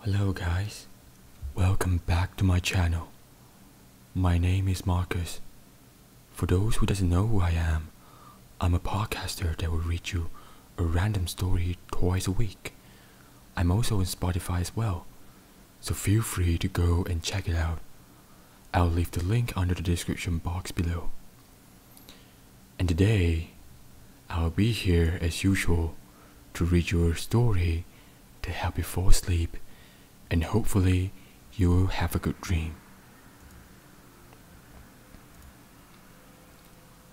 Hello guys, welcome back to my channel. My name is Marcus. For those who doesn't know who I am, I'm a podcaster that will read you a random story twice a week. I'm also on Spotify as well, so feel free to go and check it out. I'll leave the link under the description box below. And today, I'll be here as usual to read your story to help you fall asleep, and hopefully, you will have a good dream.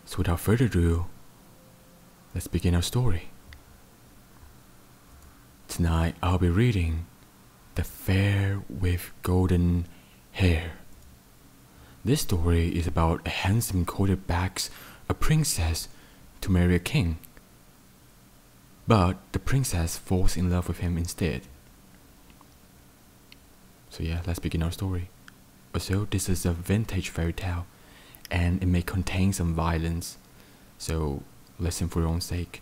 So, without further ado, let's begin our story. Tonight, I'll be reading The Fair with Golden Hair this story is about a handsome quarterback's a princess to marry a king. But the princess falls in love with him instead. So yeah, let's begin our story. Also, this is a vintage fairy tale and it may contain some violence. So listen for your own sake.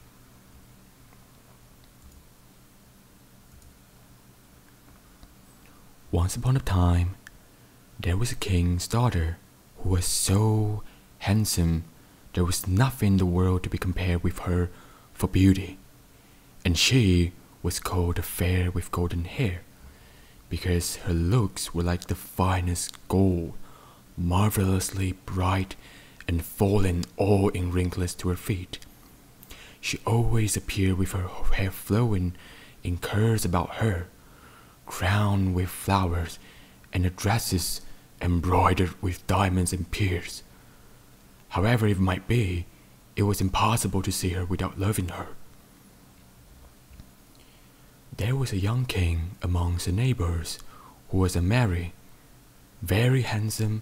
Once upon a time, there was a king's daughter who was so handsome there was nothing in the world to be compared with her for beauty, and she was called the fair with golden hair because her looks were like the finest gold, marvelously bright and falling all in wrinkles to her feet. She always appeared with her hair flowing in curls about her, crowned with flowers, and her dresses embroidered with diamonds and pearls. However it might be, it was impossible to see her without loving her. There was a young king amongst the neighbors who was a unmarried, very handsome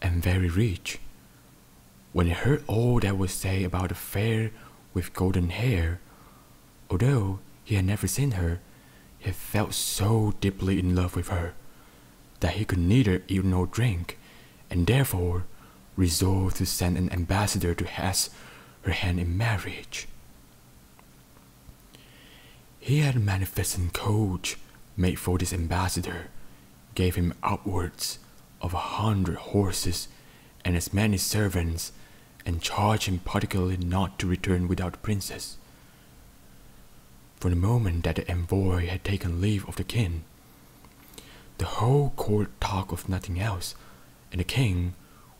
and very rich, when he heard all that was said about the fair with golden hair, although he had never seen her, he felt so deeply in love with her that he could neither eat nor drink, and therefore resolved to send an ambassador to ask her hand in marriage. He had a magnificent coach made for this ambassador, gave him upwards of a hundred horses and as many servants, and charged him particularly not to return without the princess. From the moment that the envoy had taken leave of the king, the whole court talked of nothing else, and the king,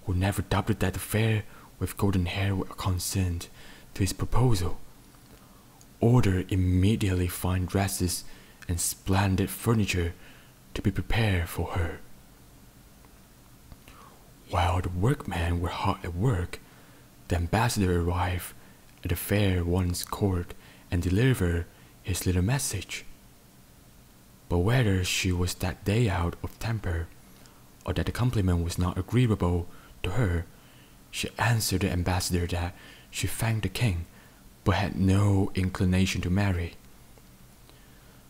who never doubted that the fair with golden hair would consent to his proposal, ordered immediately fine dresses and splendid furniture to be prepared for her. While the workmen were hard at work, the ambassador arrived at the fair one's court and delivered his little message. But whether she was that day out of temper, or that the compliment was not agreeable to her, she answered the ambassador that she thanked the king but had no inclination to marry.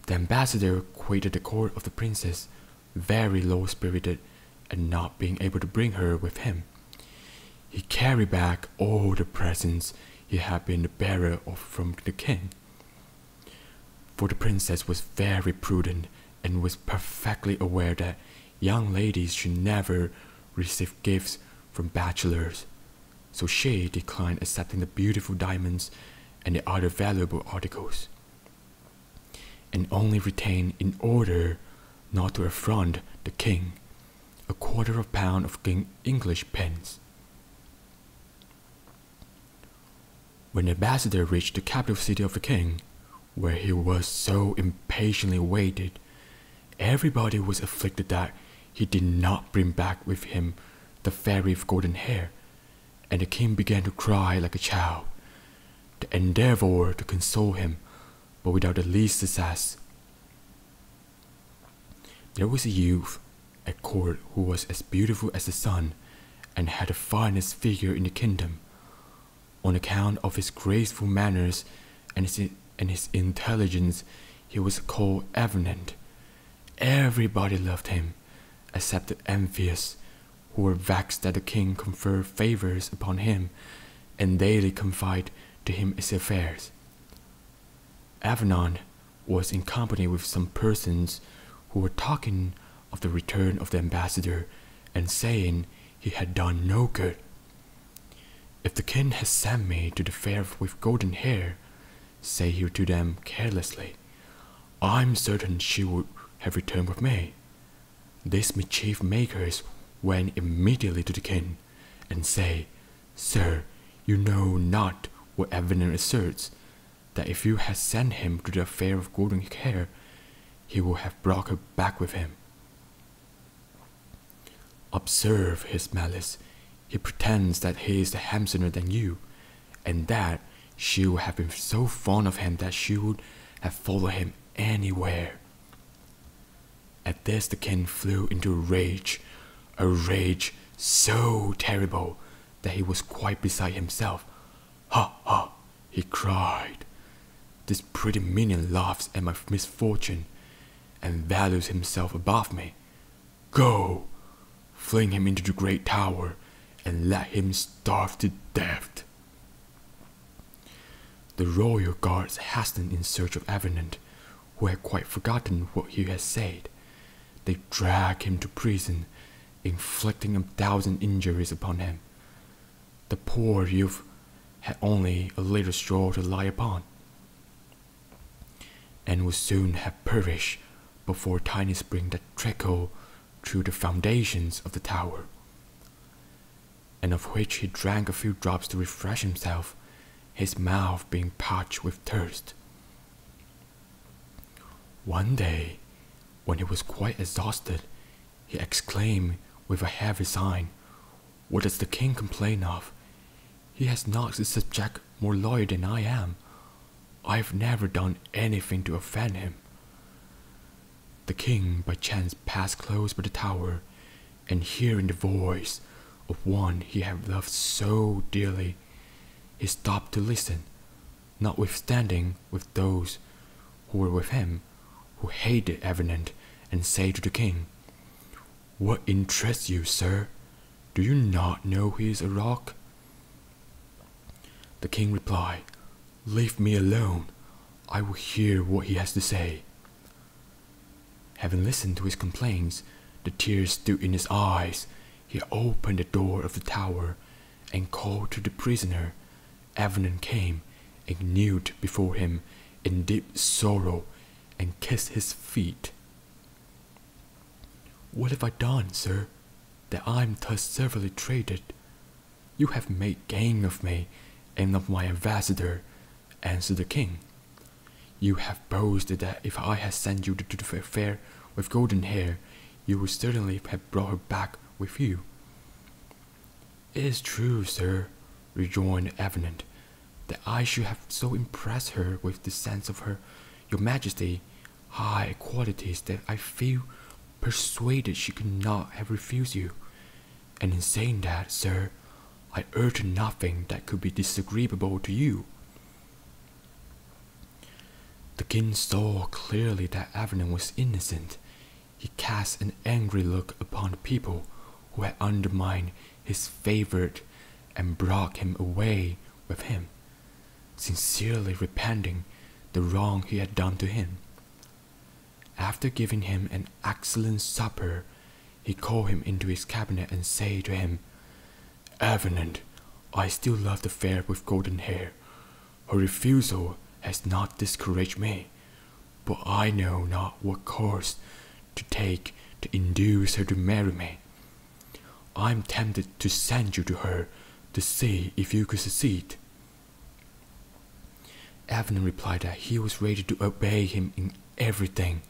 The ambassador quitted the court of the princess, very low spirited at not being able to bring her with him. He carried back all the presents he had been the bearer of from the king. For the princess was very prudent and was perfectly aware that young ladies should never receive gifts from bachelors so Shea declined accepting the beautiful diamonds and the other valuable articles, and only retained, in order not to affront the king, a quarter of a pound of English pence. When the ambassador reached the capital city of the king, where he was so impatiently waited, Everybody was afflicted that he did not bring back with him the fairy of golden hair, and the king began to cry like a child. They endeavor to console him, but without the least success. There was a youth at court who was as beautiful as the sun, and had the finest figure in the kingdom. On account of his graceful manners and his and his intelligence, he was called eminent Everybody loved him, except the envious, who were vexed that the king conferred favors upon him, and daily confided to him his affairs. Avenant was in company with some persons who were talking of the return of the ambassador and saying he had done no good. If the king has sent me to the fair with golden hair, say he to them carelessly, I'm certain she would have returned with me. This mischief maker is went immediately to the king, and say, Sir, you know not what Avenant asserts, that if you had sent him to the fair of golden hair, he would have brought her back with him. Observe his malice. He pretends that he is handsomer than you, and that she would have been so fond of him that she would have followed him anywhere. At this, the king flew into a rage, a rage so terrible that he was quite beside himself. Ha ha, he cried. This pretty minion laughs at my misfortune and values himself above me. Go! Fling him into the great tower, and let him starve to death. The royal guards hastened in search of Avenant, who had quite forgotten what he had said. They dragged him to prison, inflicting a thousand injuries upon him. The poor youth had only a little straw to lie upon and would soon have perished before tiny springs that trickled through the foundations of the tower, and of which he drank a few drops to refresh himself, his mouth being parched with thirst. One day, when he was quite exhausted, he exclaimed with a heavy sigh, what does the king complain of? He has not is a jack more loyal than I am. I've never done anything to offend him. The king by chance passed close by the tower, and hearing the voice of one he had loved so dearly, he stopped to listen, notwithstanding with those who were with him, who hated Avenant, and say to the king, what interests you, sir? Do you not know he is a rock? The king replied, Leave me alone. I will hear what he has to say. Having listened to his complaints, the tears stood in his eyes. He opened the door of the tower and called to the prisoner. Avenant came and knelt before him in deep sorrow and kiss his feet. What have I done, sir, that I am thus severely treated? You have made gain of me and of my ambassador, answered the king. You have boasted that if I had sent you to the fair with golden hair, you would certainly have brought her back with you. It is true, sir, rejoined Avenant, that I should have so impressed her with the sense of her, your majesty, high qualities that I feel persuaded she could not have refused you. And in saying that, sir, I urge nothing that could be disagreeable to you. The king saw clearly that Avenant was innocent. He cast an angry look upon the people who had undermined his favourite and brought him away with him, sincerely repenting the wrong he had done to him. After giving him an excellent supper, he called him into his cabinet and said to him, Avenant, I still love the fair with golden hair. Her refusal has not discouraged me, but I know not what cause." to take to induce her to marry me. I'm tempted to send you to her to see if you could succeed. Evelyn replied that he was ready to obey him in everything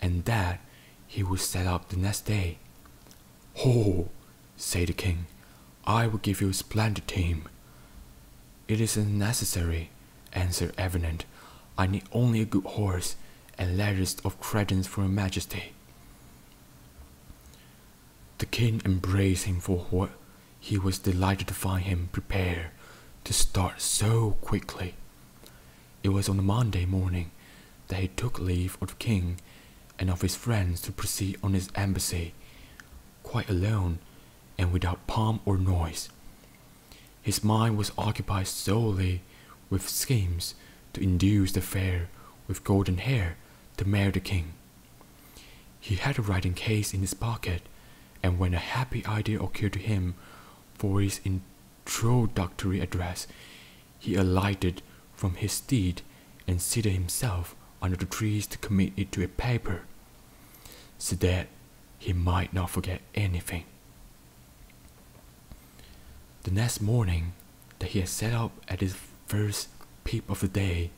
and that he would set out the next day. Ho, said the king, I will give you a splendid team. It isn't necessary, answered Avenant. I need only a good horse and letters of credence for your majesty. The king embraced him for what he was delighted to find him prepared to start so quickly. It was on the Monday morning that he took leave of the king and of his friends to proceed on his embassy, quite alone and without pomp or noise. His mind was occupied solely with schemes to induce the fair with golden hair to marry the king. He had a writing case in his pocket, and when a happy idea occurred to him for his introductory address, he alighted from his steed and seated himself under the trees to commit it to a paper, so that he might not forget anything. The next morning, that he had set out at his first peep of the day,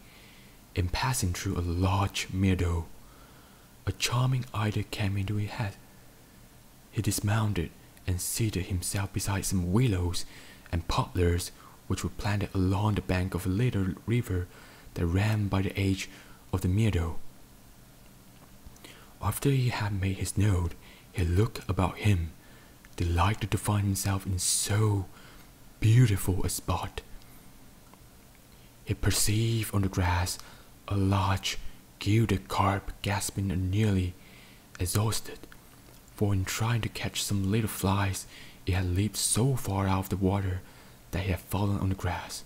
in passing through a large meadow, a charming idea came into his head. He dismounted and seated himself beside some willows and poplars which were planted along the bank of a little river that ran by the edge of the meadow. After he had made his note, he looked about him, delighted to find himself in so beautiful a spot. He perceived on the grass a large gilded carp gasping and nearly exhausted, for in trying to catch some little flies, it had leaped so far out of the water that it had fallen on the grass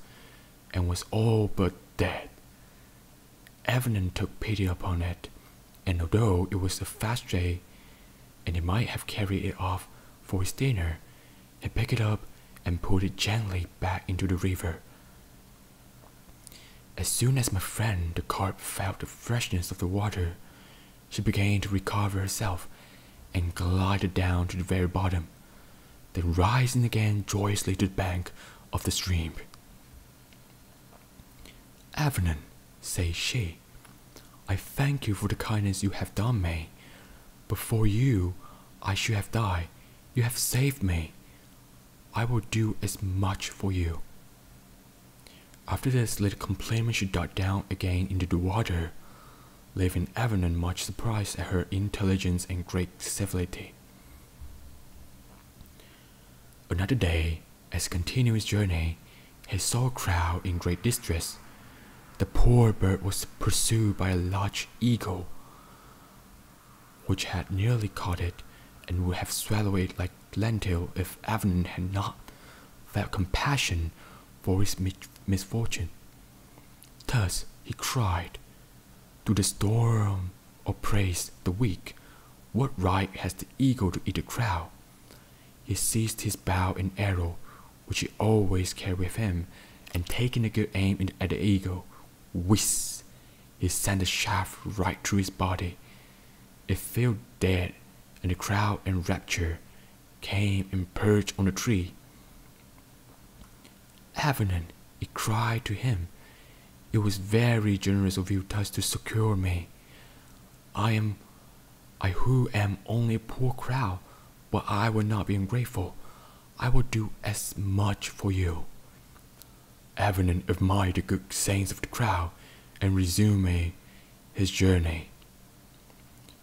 and was all but dead. Evelyn took pity upon it, and although it was a fast day, and he might have carried it off for his dinner, he picked it up and put it gently back into the river. As soon as my friend the carp felt the freshness of the water, she began to recover herself and glided down to the very bottom, then rising again joyously to the bank of the stream. Avernon, says she, I thank you for the kindness you have done me. Before you, I should have died. You have saved me. I will do as much for you. After this, little complainant she dived down again into the water, leaving Avernon much surprised at her intelligence and great civility. Another day, as continued his journey, he saw a crowd in great distress. The poor bird was pursued by a large eagle, which had nearly caught it and would have swallowed it like lentil if Avenant had not felt compassion for his misfortune. Thus he cried, To the storm, or praise the weak? What right has the eagle to eat a crow? He seized his bow and arrow, which he always carried with him, and taking a good aim at the eagle, whizz! he sent the shaft right through his body. It fell dead, and the crow, in rapture came and perched on the tree. Avenant, he cried to him, it was very generous of you thus to secure me. I am, I who am only a poor crow, but I will not be ungrateful. I will do as much for you. Avenant admired the good saints of the crow, and resumed his journey.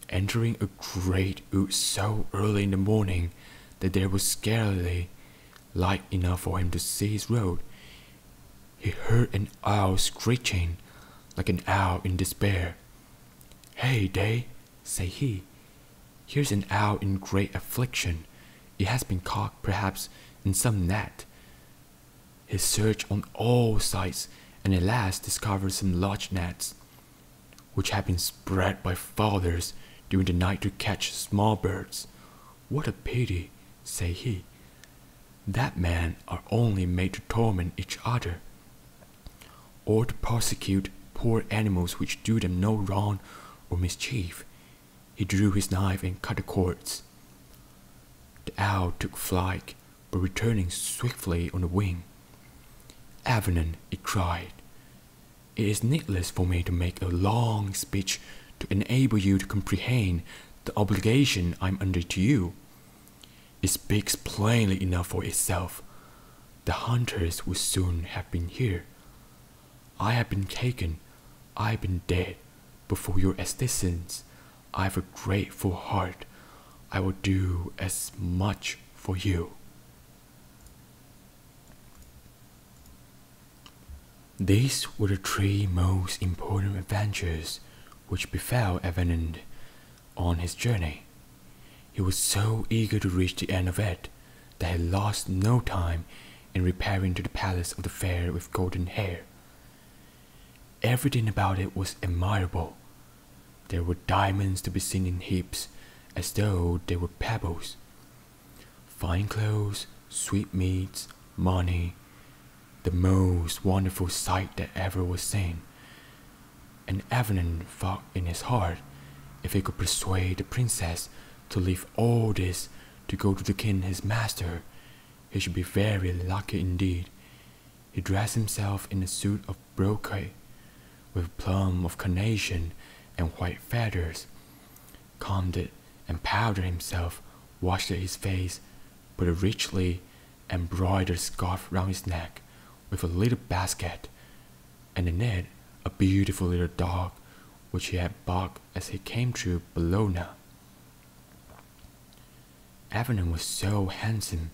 Entering a great wood so early in the morning that there was scarcely light enough for him to see his road. He heard an owl screeching like an owl in despair. Hey, day, said he, here's an owl in great affliction. It has been caught perhaps in some net. He searched on all sides and at last discovered some large nets which had been spread by fathers during the night to catch small birds. What a pity, said he, that men are only made to torment each other, or to persecute poor animals which do them no wrong or mischief. He drew his knife and cut the cords. The owl took flight, but returning swiftly on the wing. Avenant, it cried, it is needless for me to make a long speech to enable you to comprehend the obligation I'm under to you. It speaks plainly enough for itself. The hunters would soon have been here. I have been taken, I have been dead, but for your assistance, I have a grateful heart. I will do as much for you. These were the three most important adventures which befell Avenant on his journey. He was so eager to reach the end of it that he lost no time in repairing to the palace of the fair with golden hair. Everything about it was admirable. There were diamonds to be seen in heaps, as though they were pebbles, Fine clothes, sweetmeats, money, the most wonderful sight that ever was seen. And Avenant thought in his heart if he could persuade the princess to leave all this to go to the king his master, he should be very lucky indeed. He dressed himself in a suit of brocade, with plum of carnation and white feathers, combed it and powdered himself, washed his face, put a richly embroidered scarf round his neck, with a little basket, and in it a beautiful little dog, which he had barked as he came through Bologna. Avenant was so handsome,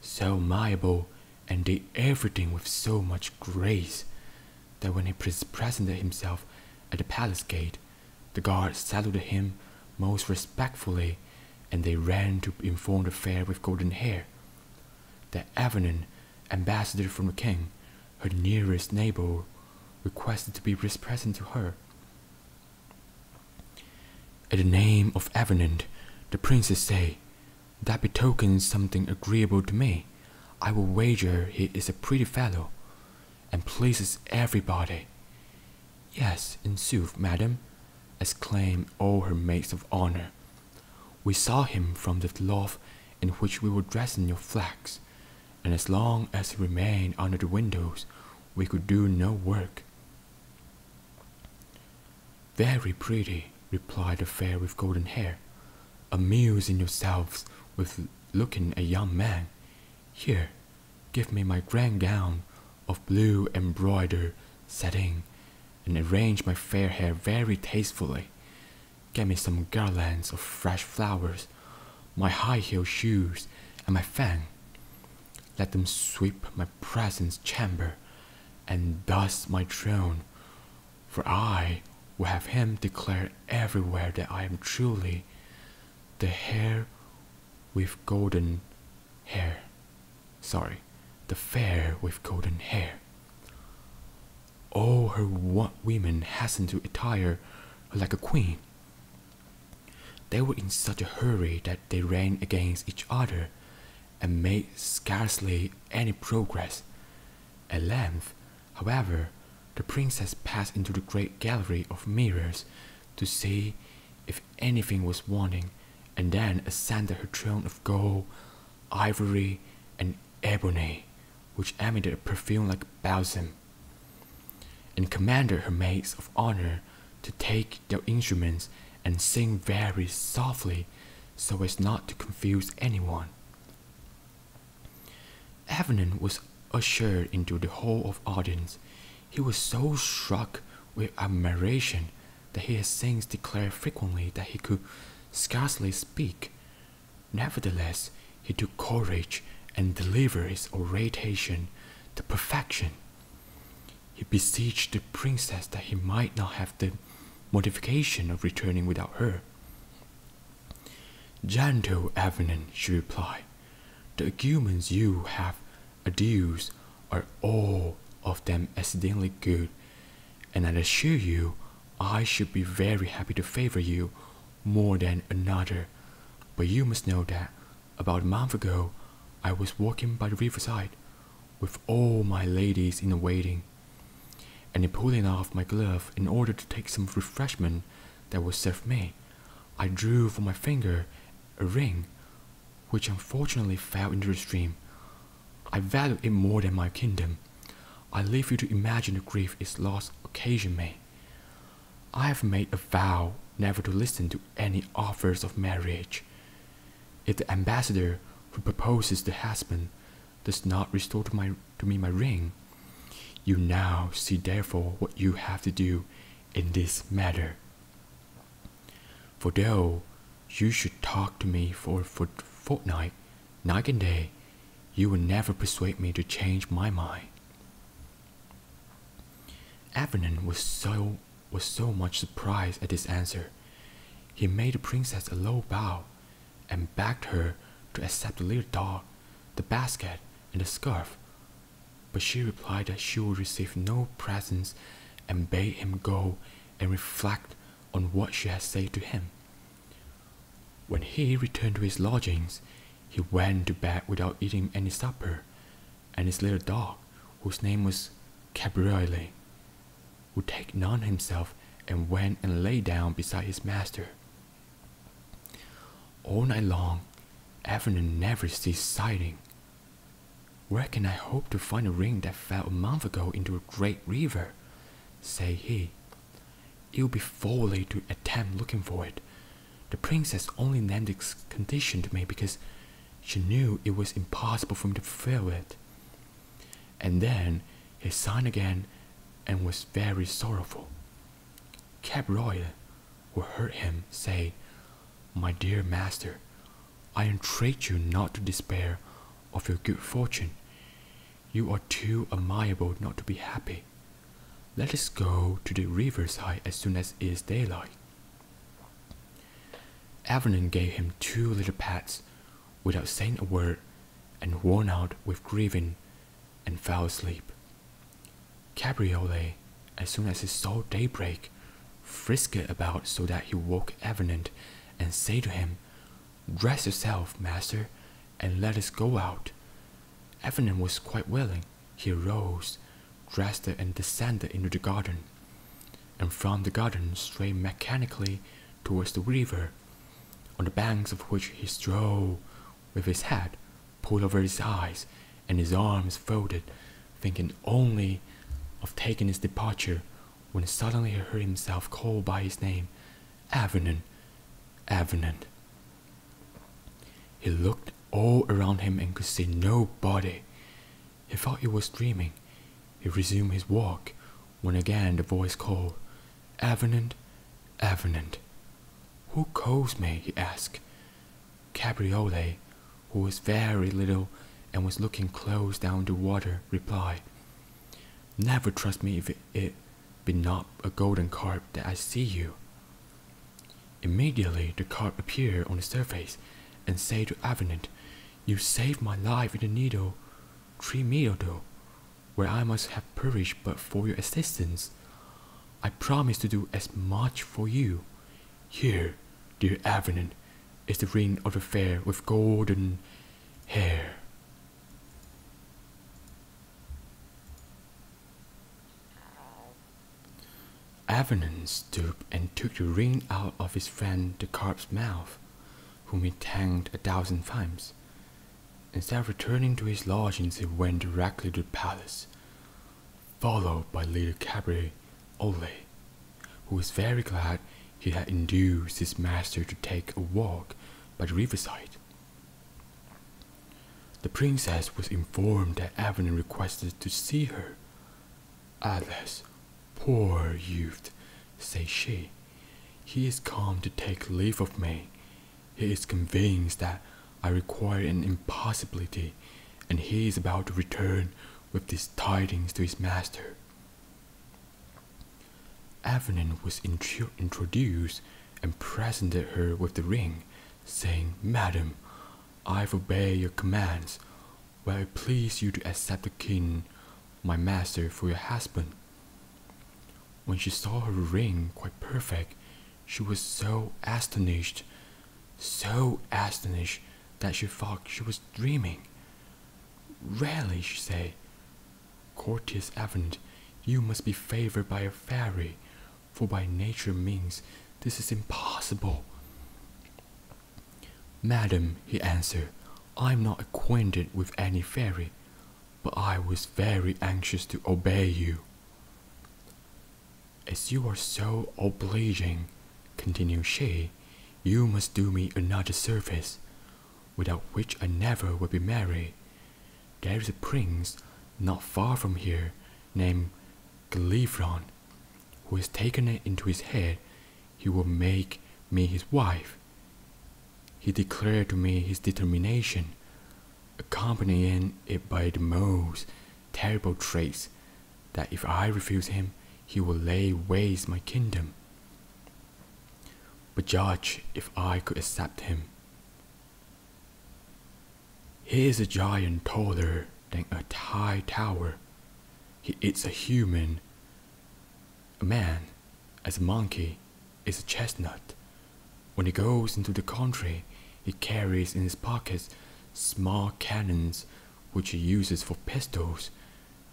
so amiable, and did everything with so much grace that when he presented himself at the palace gate, the guards saluted him most respectfully, and they ran to inform the fair with golden hair. that Avenant, ambassador from the king, her nearest neighbor, requested to be present to her. At the name of Avenant, the princess said, that betokens something agreeable to me. I will wager he is a pretty fellow, and pleases everybody. Yes, in sooth, madam, exclaimed all her maids of honor. We saw him from the loft in which we were dressing your flax, and as long as he remained under the windows, we could do no work. Very pretty, replied the fair with golden hair, amusing yourselves with looking a young man. Here, give me my grand gown of blue embroidered satin, and arrange my fair hair very tastefully. Get me some garlands of fresh flowers, my high heeled shoes, and my fan. Let them sweep my presence chamber and dust my throne for I will have him declare everywhere that I am truly the hair with golden hair. Sorry, the fair with golden hair. All oh, her women hasten to attire like a queen. They were in such a hurry that they ran against each other and made scarcely any progress. At length, However, the princess passed into the great gallery of mirrors to see if anything was wanting, and then ascended her throne of gold, ivory, and ebony, which emitted a perfume like balsam, and commanded her maids of honor to take their instruments and sing very softly so as not to confuse anyone. Avenant was ushered into the hall of audience. He was so struck with admiration that he has since declared frequently that he could scarcely speak. Nevertheless, he took courage and delivered his oration to perfection. He beseeched the princess that he might not have the mortification of returning without her. Gentle Evelyn, she replied, the arguments you have adduced are all of them exceedingly good, and I assure you I should be very happy to favour you more than another. But you must know that about a month ago I was walking by the riverside with all my ladies in waiting and in pulling off my glove in order to take some refreshment that was served me, I drew from my finger a ring which unfortunately fell into the stream. I value it more than my kingdom. I leave you to imagine the grief its loss occasioned me. I have made a vow never to listen to any offers of marriage. If the ambassador who proposes the husband does not restore to my to me my ring. You now see therefore what you have to do in this matter. For though you should talk to me for for fortnight, night and day, you will never persuade me to change my mind. Avenant was so was so much surprised at this answer. He made the princess a low bow and begged her to accept the little dog, the basket, and the scarf. But she replied that she would receive no presents and bade him go and reflect on what she had said to him. When he returned to his lodgings, he went to bed without eating any supper, and his little dog, whose name was Cabriole, would take none himself and went and lay down beside his master. All night long, Avenant never ceased sighing. Where can I hope to find a ring that fell a month ago into a great river? said he. It would be folly to attempt looking for it. The princess only named this condition to me because she knew it was impossible for me to fulfill it. And then he sighed again and was very sorrowful. Cabroid who heard him say, My dear master, I entreat you not to despair of your good fortune. You are too amiable not to be happy. Let us go to the side as soon as it is daylight. Avernon gave him two little pats without saying a word and worn out with grieving, and fell asleep. Cabriolet, as soon as he saw daybreak, frisked about so that he woke Avenant, and said to him, Dress yourself, master, and let us go out. Avenant was quite willing. He arose, dressed, and descended into the garden, and from the garden strayed mechanically towards the river, on the banks of which he strode, with his hat pulled over his eyes and his arms folded, thinking only of taking his departure, when suddenly he heard himself called by his name, Avenant, Avenant. He looked all around him and could see nobody. He thought he was dreaming. He resumed his walk, when again the voice called, Avenant, Avenant. Who calls me? he asked. Cabriole, who was very little and was looking close down the water, replied, Never trust me if it, be not a golden carp that I see you. Immediately the carp appeared on the surface and said to Avenant, You saved my life in the needle, three meal though where I must have perished but for your assistance. I promise to do as much for you. Here, dear Avenant, is the ring of the fair with golden hair. Avenant stooped and took the ring out of his friend the carp's mouth whom he thanked a thousand times. Instead of returning to his lodgings, he went directly to the palace, followed by little Cabaret Ole, who was very glad he had induced his master to take a walk by the riverside. The princess was informed that Evelyn requested to see her. Alas, poor youth, said she, he is come to take leave of me. He is convinced that I require an impossibility, and he is about to return with these tidings to his master. Avenin was intro introduced and presented her with the ring, saying, Madam, I obey your commands. Will it please you to accept the king, my master, for your husband? When she saw her ring quite perfect, she was so astonished, so astonished that she thought she was dreaming. Really, she said, Courteous Avent, you must be favored by a fairy, for by nature means this is impossible. Madam, he answered, I am not acquainted with any fairy but I was very anxious to obey you. As you are so obliging, continued she, you must do me another service, without which I never would be merry. There is a prince not far from here named Gilefron, who has taken it into his head he will make me his wife. He declared to me his determination, accompanying it by the most terrible threats that if I refused him, he would lay waste my kingdom. But judge if I could accept him. He is a giant taller than a high tower. He eats a human, a man, as a monkey, is a chestnut. When he goes into the country, he carries in his pockets small cannons which he uses for pistols,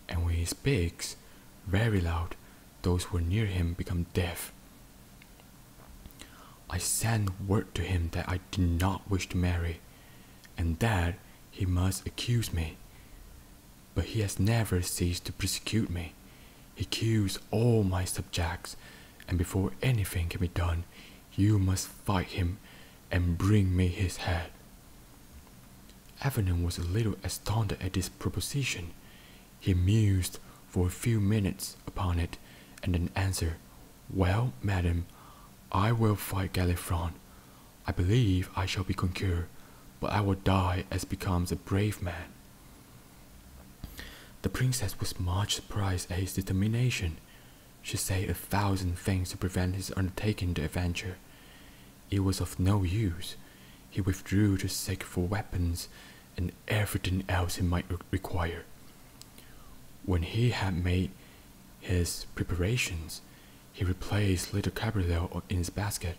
and when he speaks very loud, those who are near him become deaf. I sent word to him that I did not wish to marry, and that he must accuse me but he has never ceased to persecute me. He cures all my subjects, and before anything can be done, you must fight him and bring me his head. Avenant was a little astounded at this proposition. He mused for a few minutes upon it, and then answered, Well, madam, I will fight Galifron. I believe I shall be conquered, but I will die as becomes a brave man. The princess was much surprised at his determination. She said a thousand things to prevent his undertaking the adventure. It was of no use. He withdrew to seek for weapons and everything else he might require. When he had made his preparations, he replaced little Cabrillo in his basket,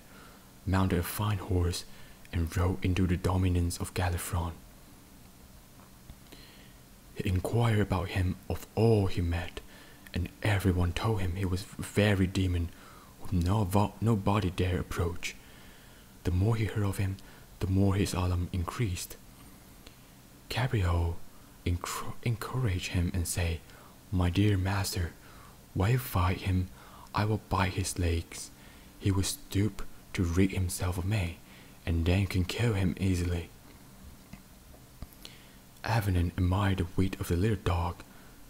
mounted a fine horse, and rode into the dominions of Galifron. He inquired about him of all he met, and every one told him he was a very demon whom no nobody dare approach. The more he heard of him, the more his alarm increased. Cabriol encouraged him and said, my dear master, fight him, I will bite his legs. He will stoop to rid himself of me, and then can kill him easily. Avenant admired the wit of the little dog,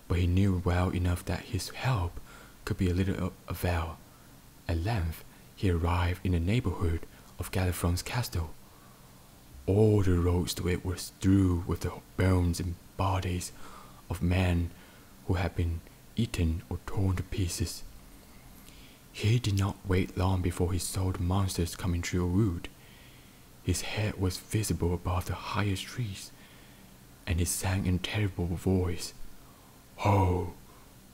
but he knew well enough that his help could be of little avail. At length, he arrived in the neighborhood of Galifron's castle. All the roads to it were strewed with the bones and bodies of men who had been eaten or torn to pieces. He did not wait long before he saw the monsters coming through a wood. His head was visible above the highest trees, and he sang in a terrible voice, Oh,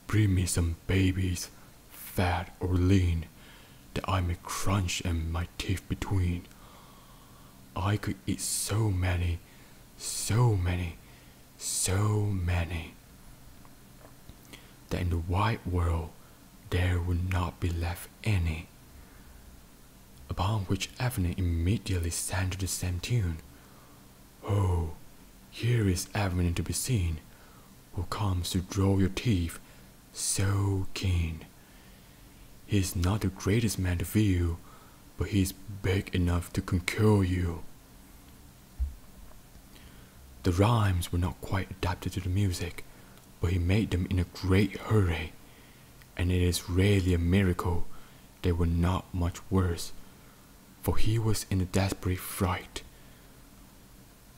bring me some babies, fat or lean, that I may crunch and my teeth between. I could eat so many so many, so many, that in the white world there would not be left any. Upon which Evelyn immediately sang to the same tune. Oh, here is Avenant to be seen, who comes to draw your teeth so keen. He is not the greatest man to feed but he is big enough to conquer you. The rhymes were not quite adapted to the music, but he made them in a great hurry, and it is really a miracle they were not much worse, for he was in a desperate fright.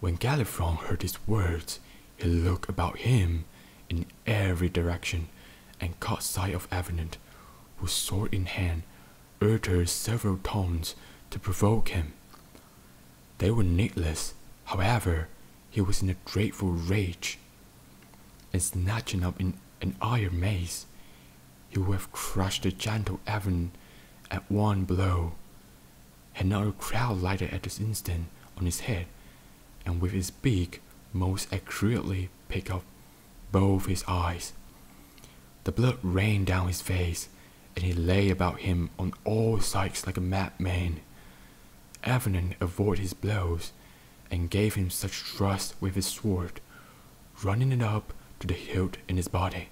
When Galifron heard his words, he looked about him in every direction and caught sight of Avenant, who sword in hand uttered several taunts to provoke him. They were needless, however, he was in a dreadful rage, and snatching up in an iron mace, he would have crushed the gentle Avenant at one blow, had not a crowd lighted at this instant on his head and with his beak most accurately pick up both his eyes. The blood rained down his face, and he lay about him on all sides like a madman. Avenant avoided his blows, and gave him such thrusts with his sword, running it up to the hilt in his body,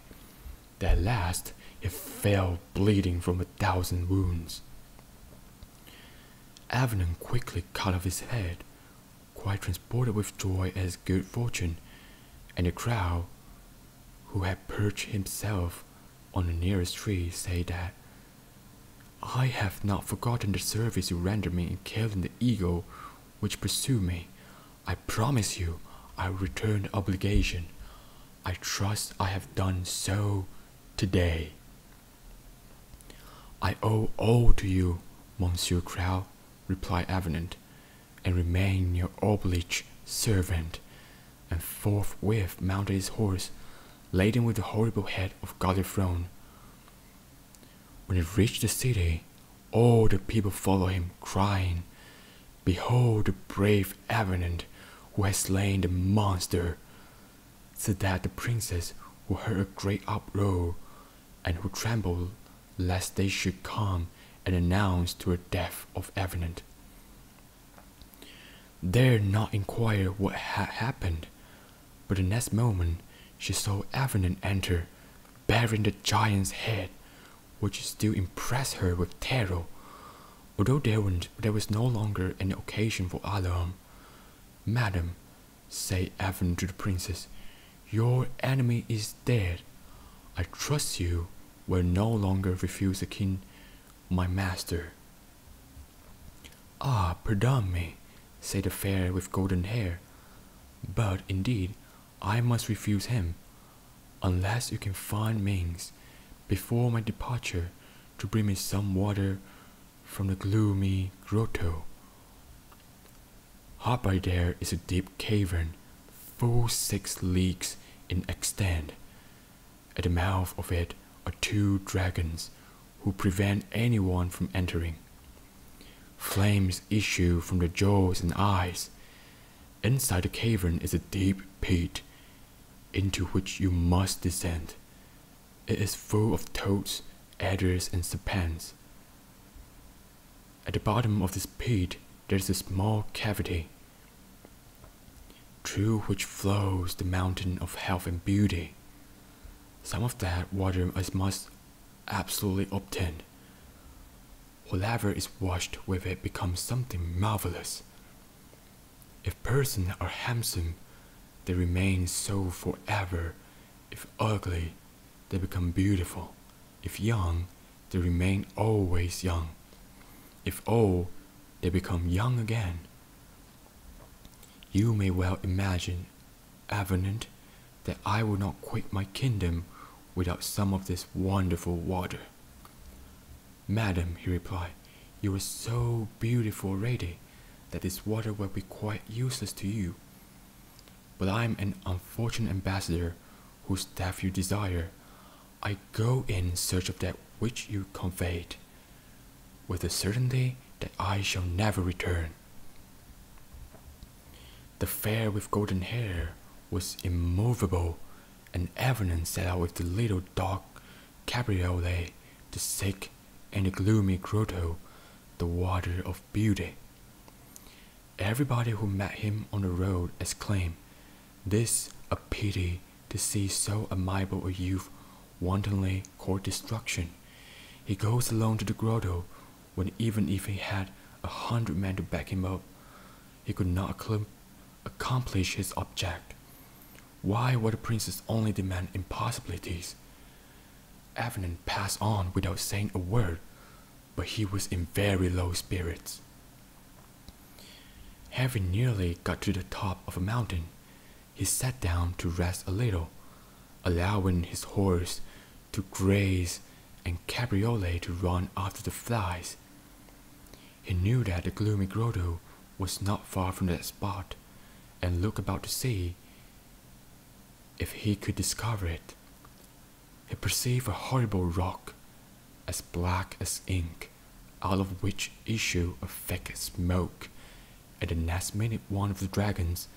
at last he fell bleeding from a thousand wounds. Avenant quickly cut off his head quite transported with joy at his good fortune, and the crow, who had perched himself on the nearest tree, said that I have not forgotten the service you rendered me in killing the eagle which pursued me. I promise you I will return the obligation. I trust I have done so today. I owe all to you, Monsieur Crow, replied Avenant, and remain your oblige servant. And forthwith mounted his horse, laden with the horrible head of Godifron. When he reached the city, all the people followed him, crying, Behold the brave Avenant who has slain the monster! said that the princess, who heard a great uproar, and who trembled lest they should come and announce to her death of Avenant, dared not inquire what had happened, but the next moment she saw Avenant enter, bearing the giant's head, which still impressed her with terror, although there was no longer an occasion for alarm. Madam, said Evan to the princess. Your enemy is dead. I trust you will no longer refuse the king, my master. Ah, pardon me, said the fair with golden hair, but indeed I must refuse him, unless you can find means, before my departure, to bring me some water from the gloomy grotto. Hard by there is a deep cavern, full six leagues in extent. At the mouth of it are two dragons who prevent anyone from entering. Flames issue from their jaws and eyes. Inside the cavern is a deep pit into which you must descend. It is full of toads, adders, and serpents. At the bottom of this pit, there is a small cavity through which flows the mountain of health and beauty. Some of that water is must absolutely obtain. Whatever is washed with it becomes something marvelous. If persons are handsome, they remain so for ever. If ugly, they become beautiful. If young, they remain always young. If old, they become young again. You may well imagine, Avenant, that I will not quit my kingdom without some of this wonderful water. Madam, he replied, you are so beautiful already that this water will be quite useless to you. But I am an unfortunate ambassador whose death you desire. I go in search of that which you conveyed, with the certainty that I shall never return. The fair with golden hair was immovable, and evidence set out with the little dog Cabriolet to seek in the gloomy grotto, the water of beauty. Everybody who met him on the road exclaimed, This a pity to see so amiable a youth wantonly court destruction. He goes alone to the grotto, when even if he had a hundred men to back him up, he could not accomplish his object. Why would the princess only demand impossibilities? Avenant passed on without saying a word, but he was in very low spirits. Having nearly got to the top of a mountain, he sat down to rest a little, allowing his horse to graze and Cabriole to run after the flies. He knew that the gloomy grotto was not far from that spot, and looked about to see if he could discover it. He perceived a horrible rock, as black as ink, out of which issued a thick smoke, and the next minute one of the dragons,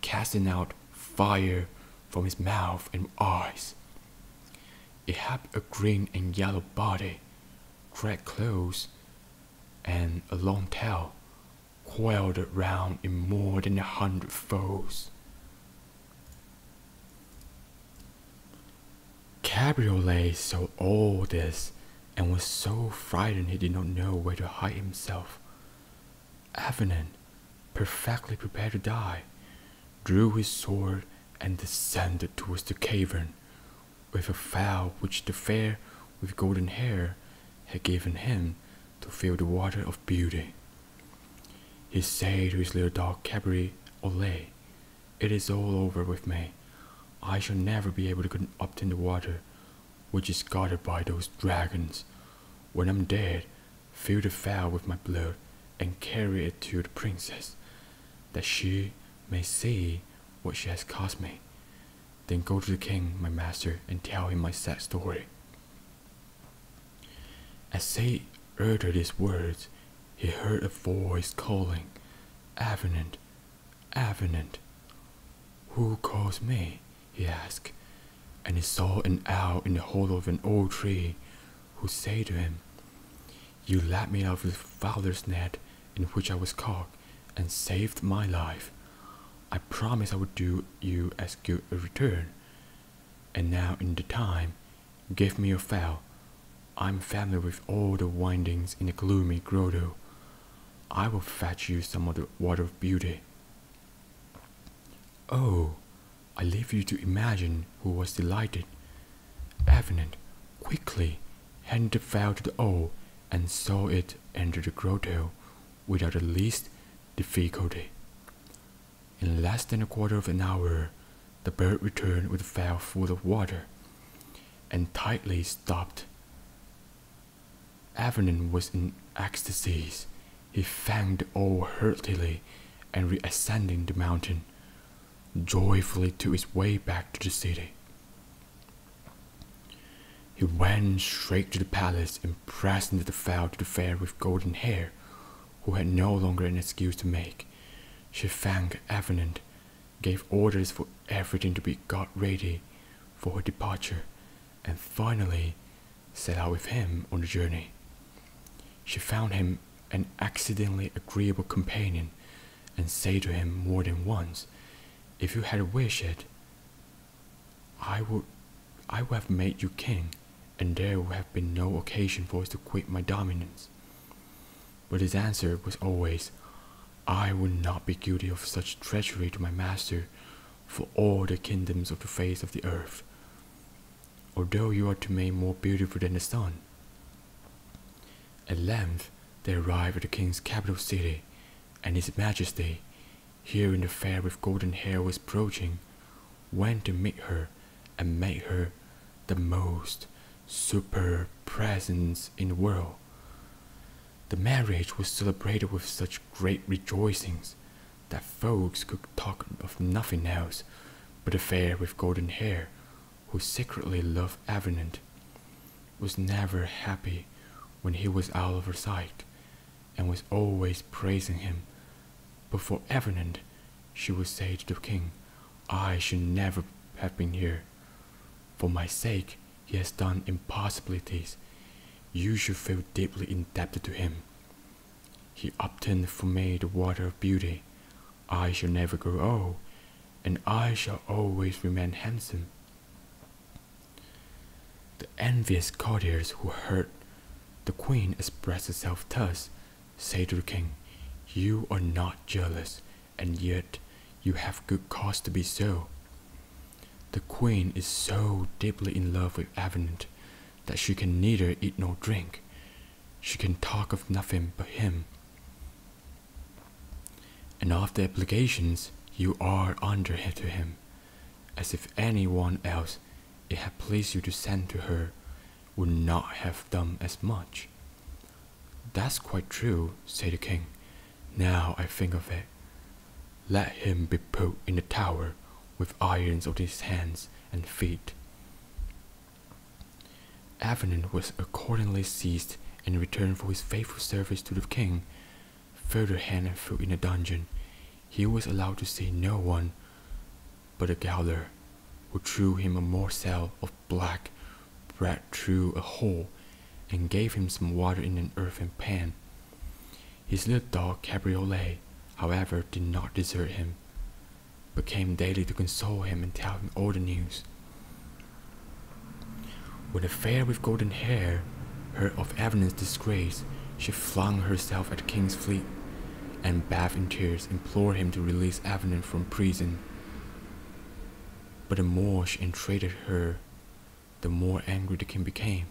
casting out fire from his mouth and eyes. It had a green and yellow body, red clothes, and a long tail, coiled around in more than a hundred folds. Cabriolet saw all this and was so frightened he did not know where to hide himself. Avenant, perfectly prepared to die, drew his sword and descended towards the cavern with a fowl which the fair with golden hair had given him to fill the water of beauty. He said to his little dog Cabri, Ole, it is all over with me. I shall never be able to get up in the water which is guarded by those dragons. When I'm dead, fill the phial with my blood and carry it to the princess, that she may see what she has cost me, then go to the king, my master, and tell him my sad story. As Say uttered these words, he heard a voice calling, Avenant, Avenant. Who calls me? he asked, and he saw an owl in the hollow of an old tree, who said to him, You let me out of the fowler's net, in which I was caught and saved my life. I promised I would do you as good a return. And now in the time, give me your fowl. I'm familiar with all the windings in the gloomy grotto. I will fetch you some of the water of beauty. Oh, I leave you to imagine who was delighted. Avenant, quickly, handed the fowl to the owl and saw it entered the grotto without the least difficulty. In less than a quarter of an hour, the bird returned with a vial full of water and tightly stopped. Avenin was in ecstasies. He thanked all heartily and reascending the mountain, joyfully took his way back to the city. He went straight to the palace and presented the fowl to the fair with golden hair, who had no longer an excuse to make. She thanked Avenant, gave orders for everything to be got ready for her departure, and finally set out with him on the journey. She found him an accidentally agreeable companion, and said to him more than once, If you had wished it, I would I would have made you king, and there would have been no occasion for us to quit my dominions. But his answer was always, I would not be guilty of such treachery to my master for all the kingdoms of the face of the earth, although you are to me more beautiful than the sun. At length they arrived at the king's capital city and his majesty, hearing the fair with golden hair, was approaching, went to meet her and made her the most superb presence in the world. The marriage was celebrated with such great rejoicings that folks could talk of nothing else but the fair with golden hair, who secretly loved Avenant, was never happy when he was out of her sight, and was always praising him. But for Avenant, she would say to the king, I should never have been here. For my sake, he has done impossibilities. You should feel deeply indebted to him. He obtained for me the water of beauty. I shall never grow old, and I shall always remain handsome. The envious courtiers who heard the queen express herself thus said to the king, You are not jealous, and yet you have good cause to be so. The queen is so deeply in love with Avenant that she can neither eat nor drink. She can talk of nothing but him and of the obligations you are under to him, as if any one else it had pleased you to send to her would not have done as much. That's quite true, said the king. Now I think of it. Let him be put in the tower with irons on his hands and feet. Avenant was accordingly seized in return for his faithful service to the king, further Hannaford in a dungeon, he was allowed to see no one but a gaoler, who threw him a morsel of black bread through a hole and gave him some water in an earthen pan. His little dog Cabriolet, however, did not desert him, but came daily to console him and tell him all the news. When the fair with golden hair heard of Evelyn's disgrace, she flung herself at the king's feet and bathed in tears, implored him to release Evelyn from prison. But the more she entreated her, the more angry the king became.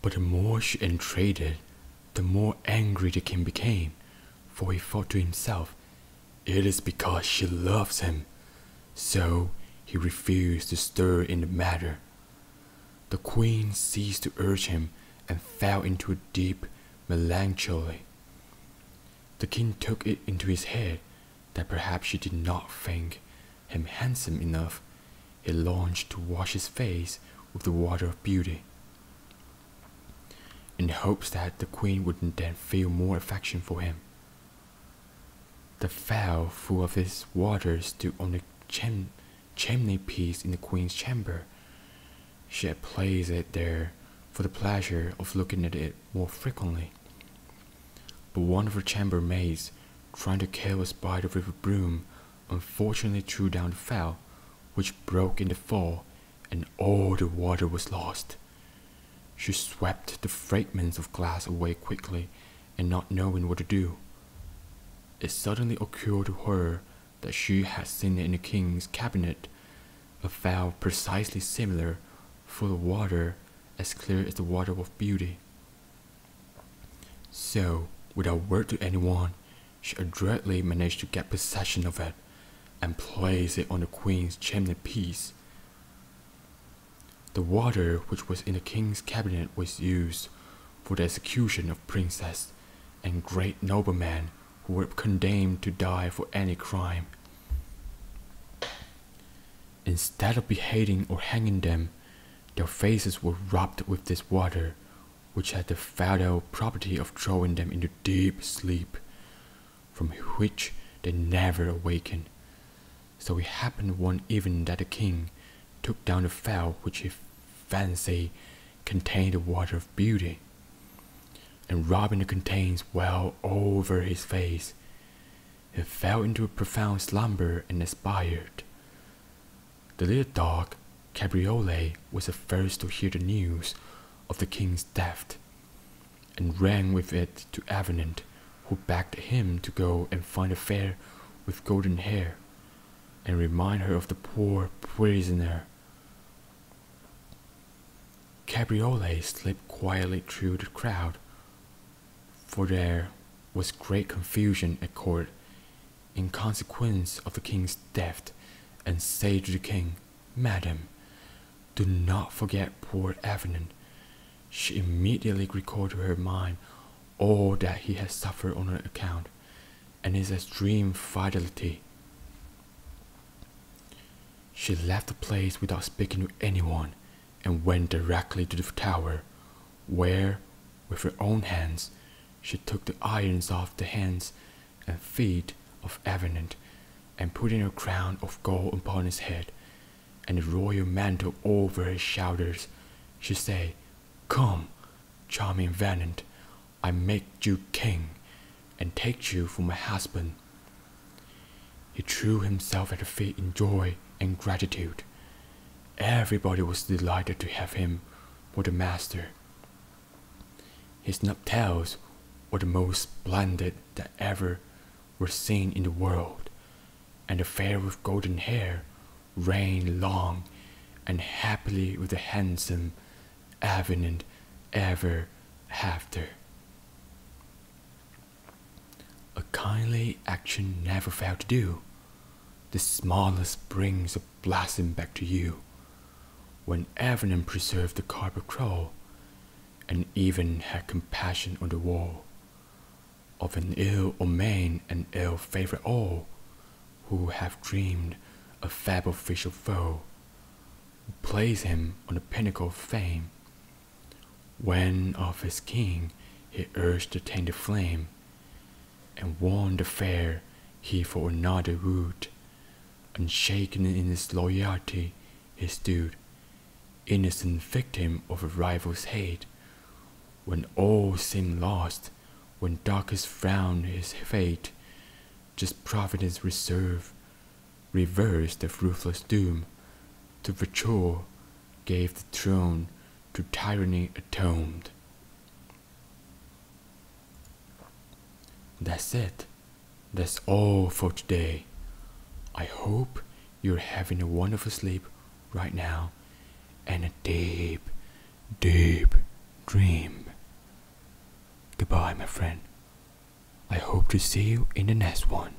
But the more she entreated, the more angry the king became, for he thought to himself, It is because she loves him. So he refused to stir in the matter. The queen ceased to urge him and fell into a deep melancholy. The king took it into his head that perhaps she did not think him handsome enough, he longed to wash his face with the water of beauty, in hopes that the queen would then feel more affection for him. The phial full of its water stood on the chimney piece in the queen's chamber. She had placed it there for the pleasure of looking at it more frequently. But one of her chambermaids, trying to kill a spider with a broom, unfortunately threw down the fowl, which broke in the fall, and all the water was lost. She swept the fragments of glass away quickly, and not knowing what to do. It suddenly occurred to her that she had seen in the king's cabinet a fowl precisely similar, full of water, as clear as the water of beauty. So, without word to anyone, she adroitly managed to get possession of it and placed it on the queen's chimney-piece. The water which was in the king's cabinet was used for the execution of princes and great noblemen who were condemned to die for any crime. Instead of beheading or hanging them, their faces were rubbed with this water, which had the fatal property of throwing them into deep sleep, from which they never awakened. So it happened one evening that the king took down a phial which he fancied contained the water of beauty, and rubbing the contents well over his face, he fell into a profound slumber and expired. The little dog, Cabriole, was the first to hear the news of the king's death, and ran with it to Avenant, who begged him to go and find a fair with golden hair, and remind her of the poor prisoner. Cabriole slipped quietly through the crowd, for there was great confusion at court in consequence of the king's death, and say to the king, Madam, do not forget poor Avenant. She immediately recalled to her mind all that he had suffered on her account, and his extreme fidelity. She left the place without speaking to anyone, and went directly to the tower, where, with her own hands, she took the irons off the hands and feet of Avenant, and putting a crown of gold upon his head, and a royal mantle over his shoulders, she said, Come, charming Venant, I make you king, and take you for my husband. He threw himself at her feet in joy and gratitude, Everybody was delighted to have him for the master. His nuptials were the most splendid that ever were seen in the world, and the fair with golden hair reigned long and happily with the handsome Avenant ever after. A kindly action never failed to do. The smallest brings a blossom back to you. When Evelyn preserved the carpet crawl, and even had compassion on the woe. of an ill omen and ill favoured all, who have dreamed a fab official foe, who plays him on the pinnacle of fame, when of his king he urged to tend flame, and warned the fair he for another would. Unshaken in his loyalty he stood, innocent victim of a rival's hate. When all seemed lost, when darkest frowned his fate, just providence reserve reversed the ruthless doom to Vachor gave the throne to tyranny atoned. That's it. That's all for today. I hope you're having a wonderful sleep right now and a deep, deep dream. Goodbye, my friend. I hope to see you in the next one.